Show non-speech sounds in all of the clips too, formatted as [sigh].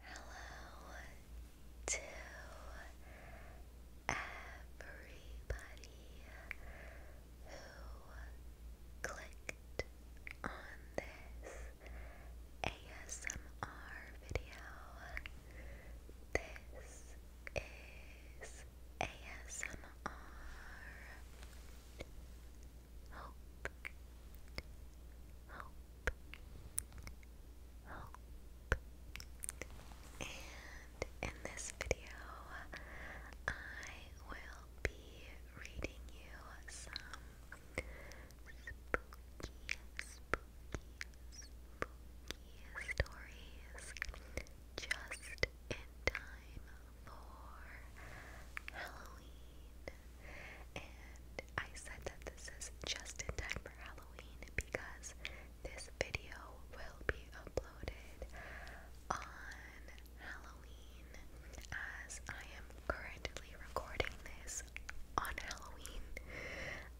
Hello to everybody who clicked on this ASMR video. This is ASMR hope. And in this video, I will be reading you some spooky, spooky, spooky stories just in time for Halloween. And I said that this is just in time for Halloween because this video will be uploaded on Halloween as I am currently recording this on Halloween.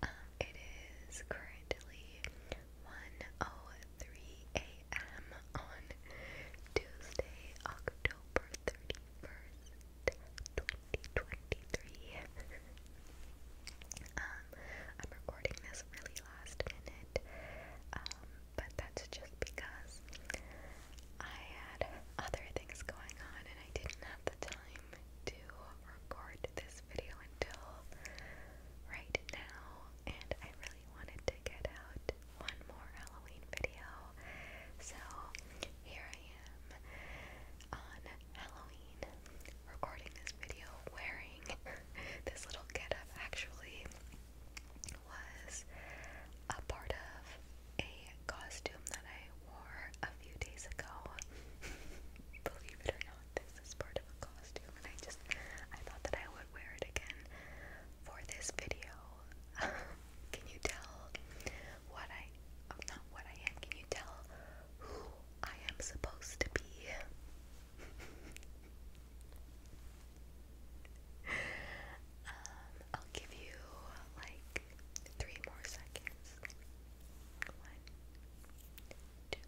Um, it is currently 1.03 a.m. on Tuesday, October 31st, 2023. [laughs] um, I'm recording this really last minute, um, but that's just because I had other things going on and I didn't have the time to record this video until right now, and I really wanted to get out one more Halloween video. So, here I am on Halloween recording this video wearing [laughs] this little getup actually was a part of a costume that I wore a few days ago. [laughs] Believe it or not, this is part of a costume and I just I thought that I would wear it again for this video. [laughs] Can you tell what I, not what I am, can you tell who I am supposed to be? [laughs] um, I'll give you like three more seconds. One, two,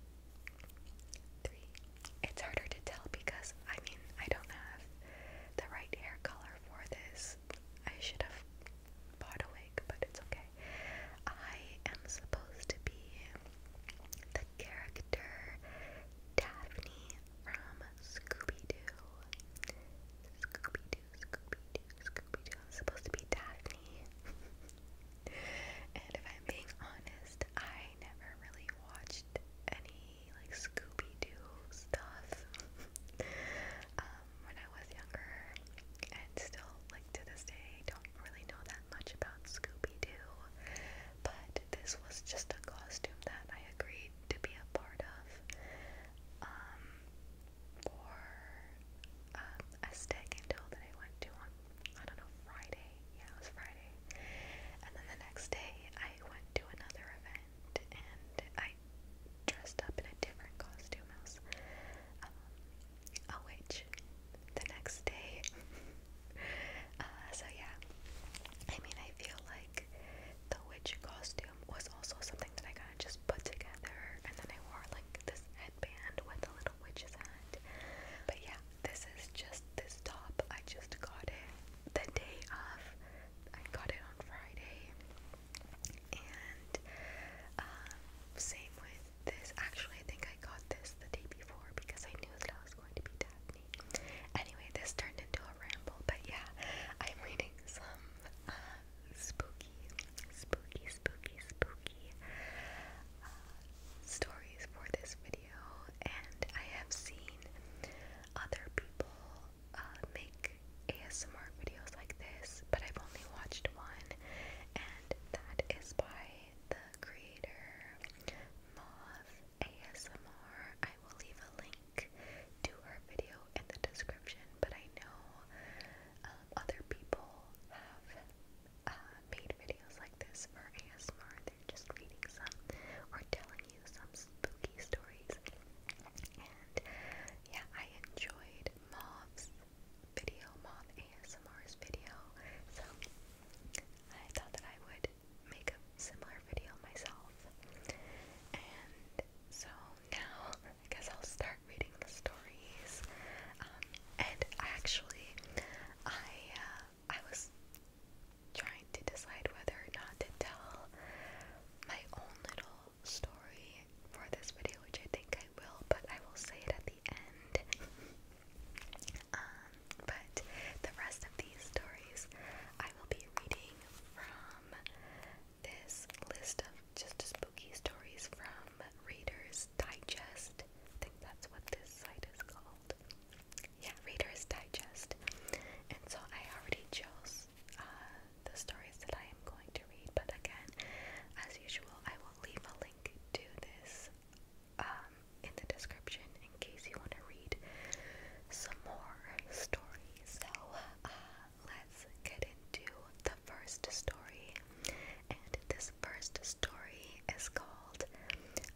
three. It's harder to tell because I mean I don't have the right hair color for this I should have bought a wig, but it's okay. I am supposed to be the character Daphne from Scooby Doo. Scooby Doo, Scooby Doo, Scooby Doo. supposed to be Daphne. [laughs] and if I'm being honest, I never really watched any funny, like Scooby Doo stuff [laughs] um, when I was younger, and still, like to this day, don't really know that much about Scooby Doo. But this was just a costume that I agreed to be a part of um, for um, a stag and that I went to on, I don't know, Friday. Yeah, it was Friday. And then the next day, I went to another event, and I dressed up in a different costume house. Um, oh, the next day. [laughs] Uh, so yeah, I mean, I feel like the witch costume was also something that I kind of just put together, and then I wore like this headband with a little witch's hat. But yeah, this is just this top. I just got it the day of I got it on Friday, and um, same with this. Actually, I think I got this the day before because I knew that I was going to be Daphne. Anyway, this turned into a ramble, but yeah, I'm reading some um, spooky, spooky, spooky, spooky uh, stories for this video, and I have seen other people uh, make ASMR videos like this, but I've only watched one, and that is by the creator Mauve ASMR. I will leave a link to her video in the description, but I know um, other people have uh, made videos like this for ASMR. They're just reading some or telling you some spooky spooky stories. And yeah, I enjoyed Mob's video, Mob ASMR's video. So I thought that I would make a similar video myself. And so now I guess I'll start reading the stories. Um, and actually, I uh, I was trying to decide whether or not to tell my own little story for this video, which I think I will, but I will say it at the end. Um, but the rest of these stories I will be reading from this list of just spooky stories from Reader's Digest. think that's what this site is called. Yeah, Reader's Digest. And so I already chose the stories that I am going to read. But again, as usual, I will leave a link to this um, in the description in case you want to read some more stories. So uh, let's get into the first story. And this first story is called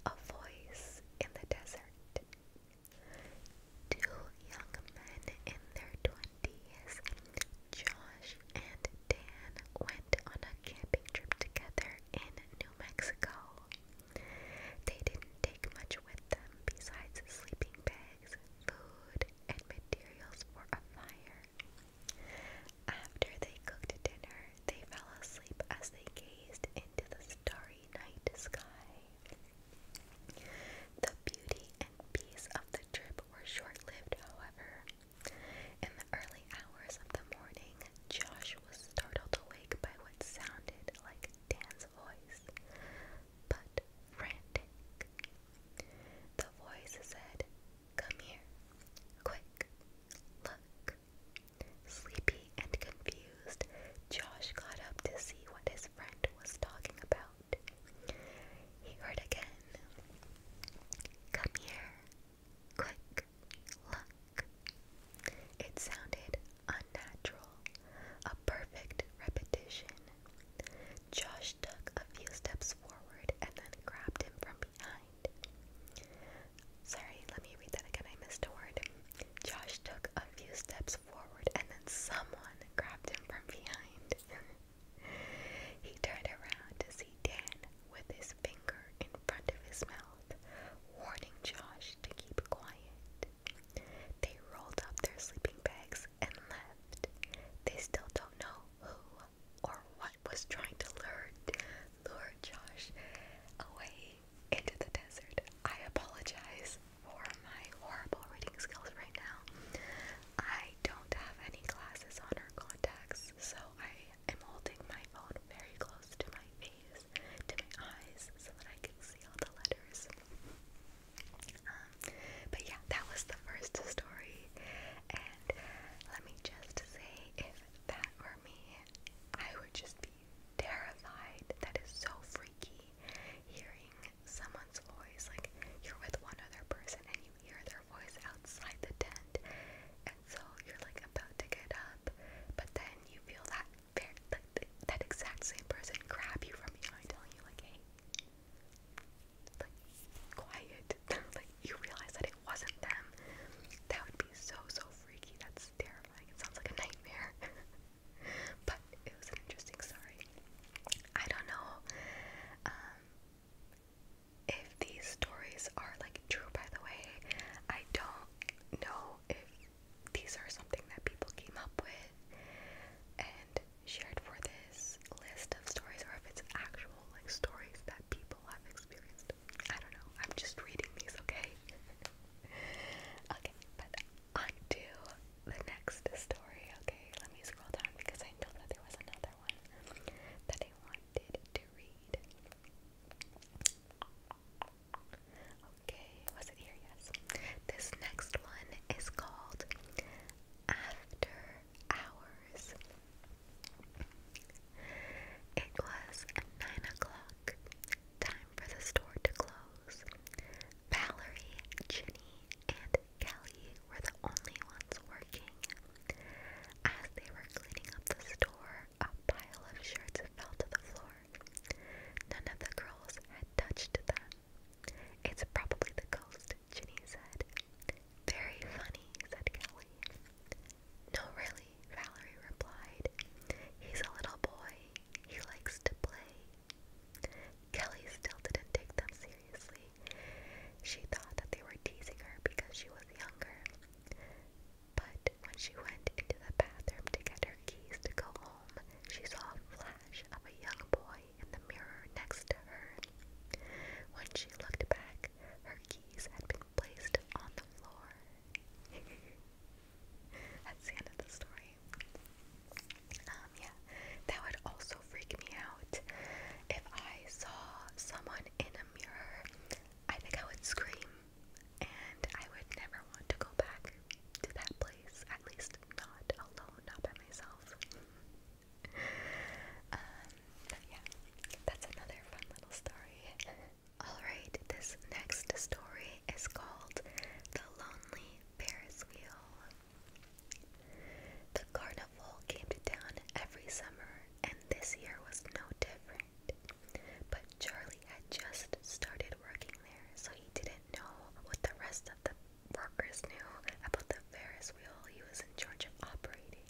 A Voice in the Desert. Two young men in their twenties, Josh and Dan, went on a camping trip together in New Mexico. They didn't take much with them besides sleeping bags, food, and materials for a fire. After they cooked dinner, they fell asleep as they gazed into the stars starry sky. The beauty and peace of the trip were short-lived, however. In the early hours of the morning, Josh was startled awake by what sounded like Dan's voice, but frantic. The voice said, Come here, quick, look. Sleepy and confused, Josh got up to see what his friend was talking about. He heard again, Come here, quick, look. It sounded unnatural, a perfect repetition. Josh took a few steps forward and then grabbed him from behind. Sorry, let me read that again. I missed a word. Josh took a few steps forward, and then someone grabbed him from behind. [laughs] he turned around to see Dan with his finger in front of his mouth, warning Josh to keep quiet. They rolled up their sleeping bags and left. They still don't know who or what was trying to lure, lure Josh away into the desert. I apologize for my horrible reading skills right now. I don't have any glasses on or contacts, so I am holding my phone very close to my face, to my eyes, so that I can see all the letters. Um, but yeah, that was the first story, and let me just say, if that were me, I would just be terrified. That is so freaky. Hearing someone's voice, like you're with one other person and you hear their voice outside the tent, and so you're like about to get up, but then you feel that that, that exact same person grab you from behind, telling you like, hey, like quiet. [laughs] like you realize that it wasn't them. That would be so so freaky. That's terrifying terrifying. It sounds like a nightmare. [laughs] but it was an interesting story. I don't know um, if these stories are like true, by the way. I don't know if these are something that people came up with and shared for this list of stories or if it's actual like stories that people have experienced. I don't know. I'm just reading these, okay? [laughs] [laughs] Okay, but on the next story, okay? Let me scroll down because I know that there was another one that I wanted to read. Okay, was it here? Yes. This next one is called After Hours. It was nine o'clock, time for the store to close. Valerie, Ginny, and Kelly were the only ones working. As they were cleaning up the store, a pile of shirts fell to the floor. None of the girls had touched them. It's probably the ghost, Ginny said. Very funny, said Kelly. No, really, Valerie replied. He's a little boy. He likes to play. Kelly still didn't take them seriously. She thought that they were teasing her because she was younger. But when she went into the bathroom to get her keys to go home, she saw a flash of a young boy in the mirror next to her. When she looked back, her keys had been placed on the floor. [laughs] That's the end of the story. Um, yeah, that would also freak me out. If I saw someone in a mirror, I think I would scream, and I would never want to go back to that place, at least not alone, not by myself. um, yeah, that's another fun little story. Alright, this next story is called The Lonely Ferris Wheel. The carnival came to town every summer, and this year was no different. But Charlie had just started working there, so he didn't know what the rest of the workers knew about the Ferris wheel he was in charge of operating.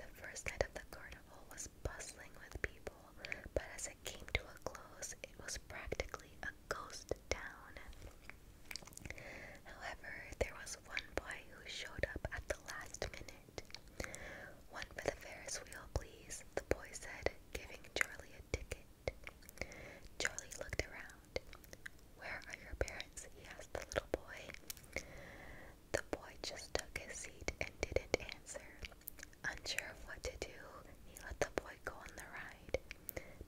The first night of the carnival was bustling with people, but as it came to a close, it was practically a ghost town. However, there was one boy who showed up at the last minute. One for the Ferris wheel, please, the boy said, giving Charlie a ticket. Charlie looked around. Where are your parents? he asked the little boy. The boy just took his seat and didn't answer. Unsure of what to do, he let the boy go on the ride.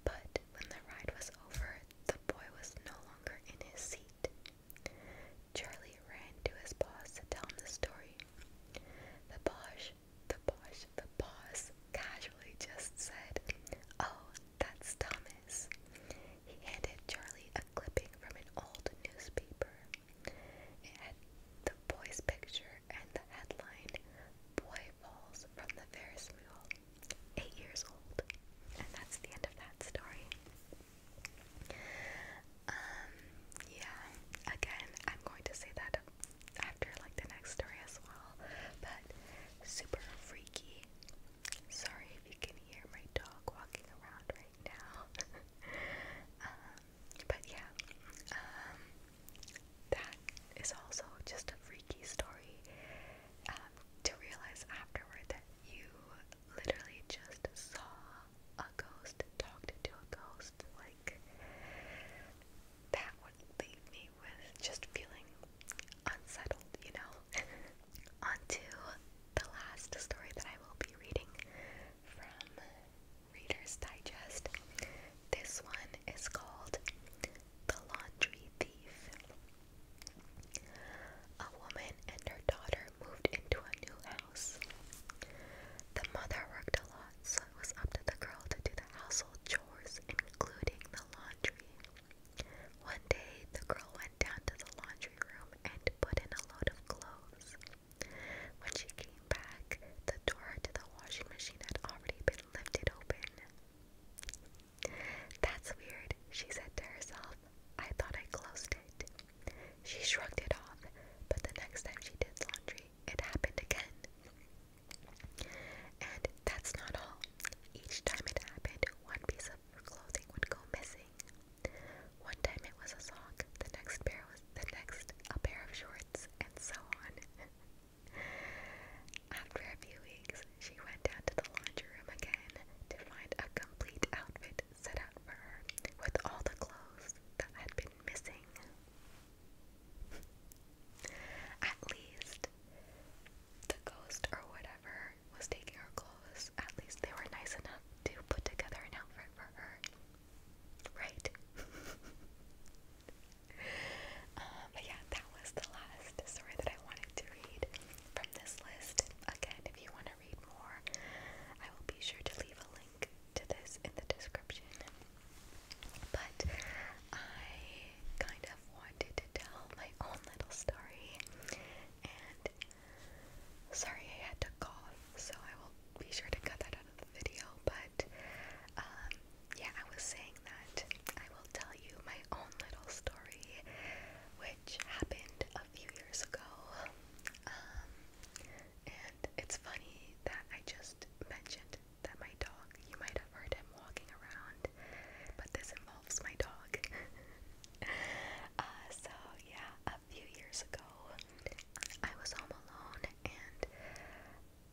But when the ride was over, the boy was no longer in his seat. Charlie ran to his boss to tell him the story. The boss, the boss, the boss casually just said, Oh, that's Thomas. He handed Charlie a clipping from an old newspaper. It had the boy's picture and the headline, Boy Falls from the Ferris Wheel, eight years old. And that's the end of that story. Um, yeah, again, I'm going to say that after like the next story as well, but super freaky. Sorry if you can hear my dog walking around right now. [laughs] um, but yeah, um, that is also just a freaky story um, to realize afterward that you literally just saw a ghost, talked to a ghost. Like, that would leave me with just feeling unsettled, you know? [laughs] On the last story that I will be reading from Reader's Digest. This one is called The Laundry Thief. A woman and her daughter moved into a new house. The mother worked a lot, so it was up to the girl to do the household chores, including the laundry. One day, the girl went down to the laundry room and put in a lot of clothes. When she came back, the door to the washing machine had already been lifted open. That's weird, she said to herself. I thought I closed it. She shrugged it off, but the next time she did laundry, it happened again. And that's not all. Each time it happened, one piece of clothing would go missing. One time it was a sock, the next pair was the next a pair of shorts, and so on. [laughs] After a few weeks, she went down to the laundry room again to find a complete outfit set out for her with all the clothes that had been missing. [laughs] At least the ghost or whatever was taking her at least they were nice enough to put together an outfit for her. Right? [laughs] Uh, but yeah, that was the last story that I wanted to read from this list. Again, if you want to read more, I will be sure to leave a link to this in the description. But I kind of wanted to tell my own little story, and Sorry, I had to cough, so I will be sure to cut that out of the video. But um, yeah, I was saying that I will tell you my own little story, which happened a few years ago. Um, and it's funny that I just mentioned that my dog, you might have heard him walking around, but this involves my dog. [laughs] Uh, so, yeah, a few years ago. I was home alone, and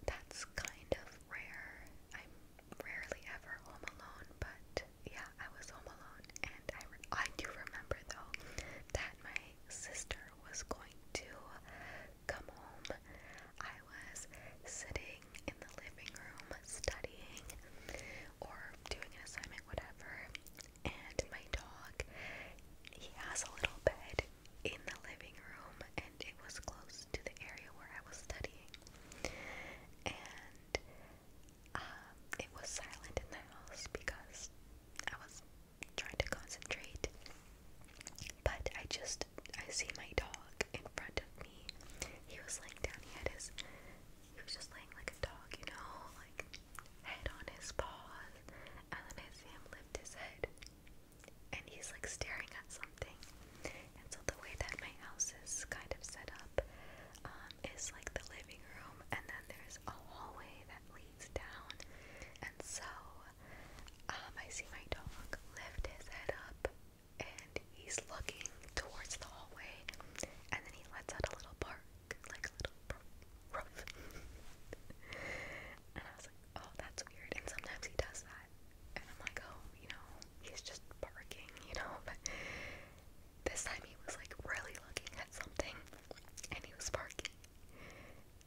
that's kind of rare. I'm rarely ever home alone, but yeah, I was home alone, and I, re I do remember though that my sister was going to come home. I was sitting in the living room studying or doing an assignment, whatever, and my dog, he has a little bed in the living room, and it was close to the area where I was studying. And um, it was silent in the house because I was trying to concentrate. But I just, I see my dog in front of me. He was laying down, he had his he was just laying like a dog, you know, like head on his paws, and then I see him lift his head, and he's like staring at something. And so the way that my house is kind of set up um, is like the living room, and then there's a hallway that leads down, and so um, I see my dog lift his head up. And he's looking towards the hallway, and then he lets out a little bark like a little rough. [laughs] rough. and I was like, oh, that's weird. And sometimes he does that, and I'm like, oh, you know, he's just barking, you know. [laughs] But this time he was like really looking at something, and he was barking,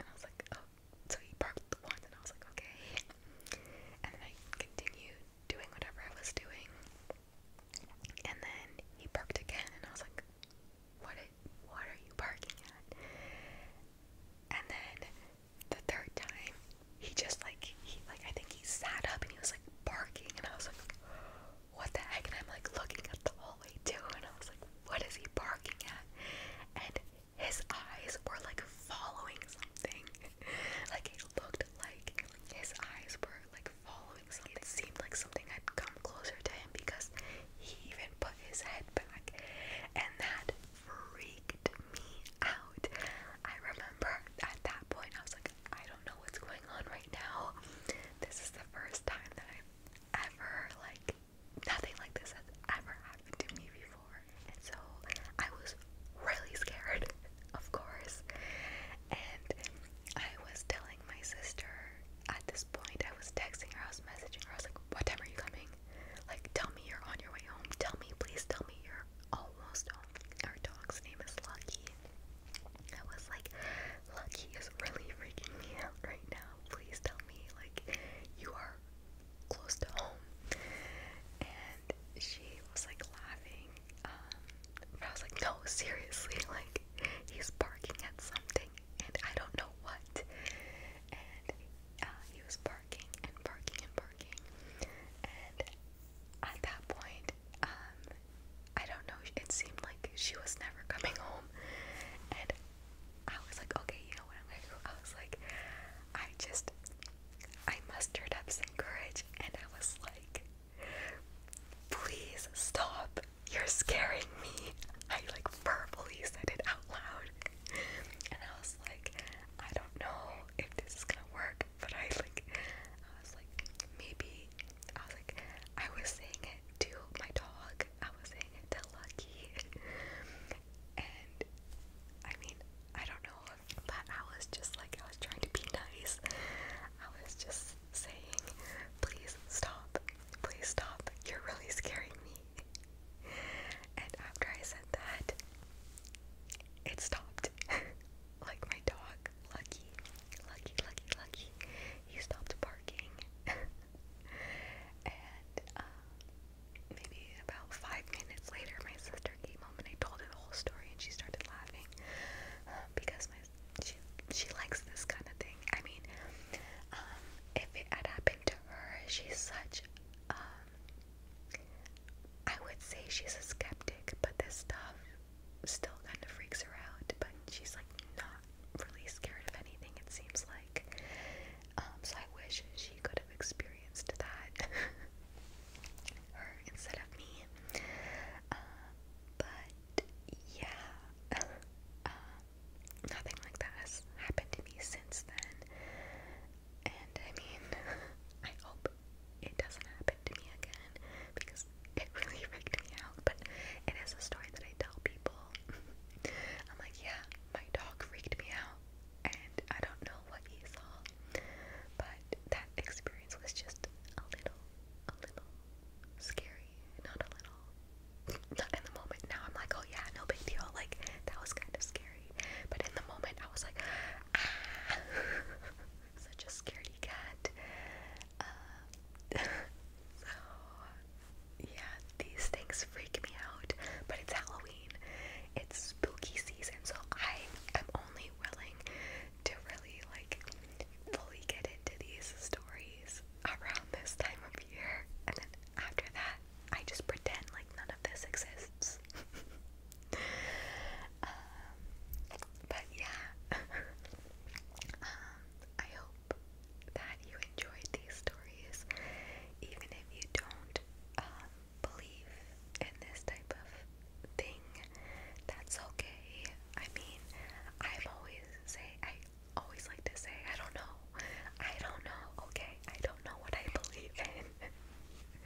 and I was like, oh, so he barked the once, and I was like, okay. And then I continued doing whatever I was doing. And then he barked again, and I was like, "What? What are you barking at?" And then the third time, he just like he like I think he sat up and he was like barking, and I was like, "What the heck?" And I'm like looking at the hallway too, and I was like, "What is he barking at?" And his eyes were like following something. [laughs] like it looked like his eyes were like following oh, something. It seemed like something had come closer to him because he even put his head back, and that freaked me out. I remember at that point I was like, I don't know what's going on right now. This is the first time that I've ever like nothing like this has ever happened to me before, and so I was really scared, [laughs] of course, and I was telling my sister at this point, I was texting her, I was messaging her, I was like, What time are you coming? Like, tell me you're on your way home. Tell me, please tell me you're almost home. Our dog's name is Lucky. I was like, Lucky is really freaking me out right now. Please tell me, like, you are close to home. And she was like laughing. Um, and I was like, no, seriously, [laughs] like, he's barking at something, and I don't know what. And uh, he was barking and barking and barking. And at that point, um, I don't know, it seemed like she was never coming home. And I was like, okay, you know what I'm gonna do? I was like, I just, I mustered up some courage, and I was like, Please stop. You're scaring me. I like verbally said it out loud. And I was like, I don't know if this is gonna work, but I like I was like, maybe I was like I was saying it to my dog. I was saying it to Lucky. And I mean, I don't know, but I was just like I was trying to be nice. I was just saying, please stop, please stop, you're really scaring me. And after I said that, it stopped. [laughs] like my dog, Lucky, Lucky, Lucky, Lucky, he stopped barking. [laughs] and uh, maybe about five minutes later, my sister Hunter came home and I told her the whole story and she started laughing uh, because my she she likes this kind of thing. I mean, um, if it had happened to her, she's such um, I would say she's a skeptic, but this stuff still kind of freaks her out. But she's like not really scared of anything. It seems like. Um, so I wish she could have experienced that. [laughs] her instead of me uh, but yeah, uh, [laughs] nothing like that has happened to me since then. And I mean, [laughs] I hope it doesn't happen to me again because it [laughs] really freaked me out. But it is a story that I tell people. I'm like, yeah, my dog freaked me out, and I don't know what he saw, but that experience was just a little, a little scary. Not a little. Not in the moment. Now I'm like, oh yeah, no big deal. Like, that was kind of scary. But in the moment, I was like, ah, [laughs] such a scaredy cat. Uh, [laughs] so, yeah, these things freak me out. But it's Halloween, it's spooky season, so I am only willing to really like fully get into these stories around this time of year. And then after that, I just pretend like none of this exists. [laughs] Um, but yeah, [laughs] um, I hope that you enjoyed these stories, even if you don't um, believe in this type of thing, that's okay. I mean, I've always say I always like to say I don't know. I don't know. Okay, I don't know what I believe in.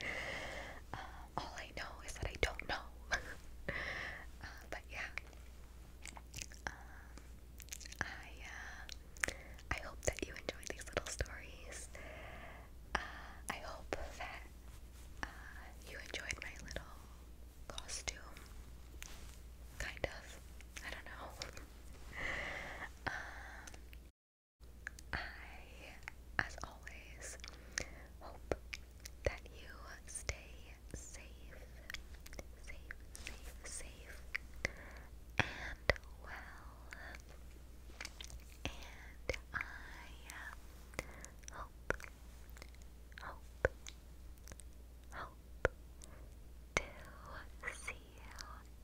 [laughs] uh, all I know is that I don't know. [laughs] uh, but yeah, um, I uh, I hope that you enjoyed these little stories. I hope that uh, you enjoyed my little costume. Kind of. I don't know. [laughs] Um, I, as always, hope that you stay safe, safe, safe, safe, and well. And I hope, hope, hope to see you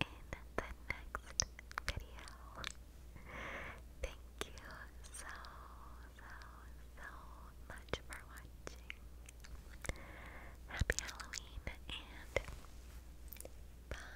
in the next video. Thank you so, so, so much for watching. Happy Halloween and bye.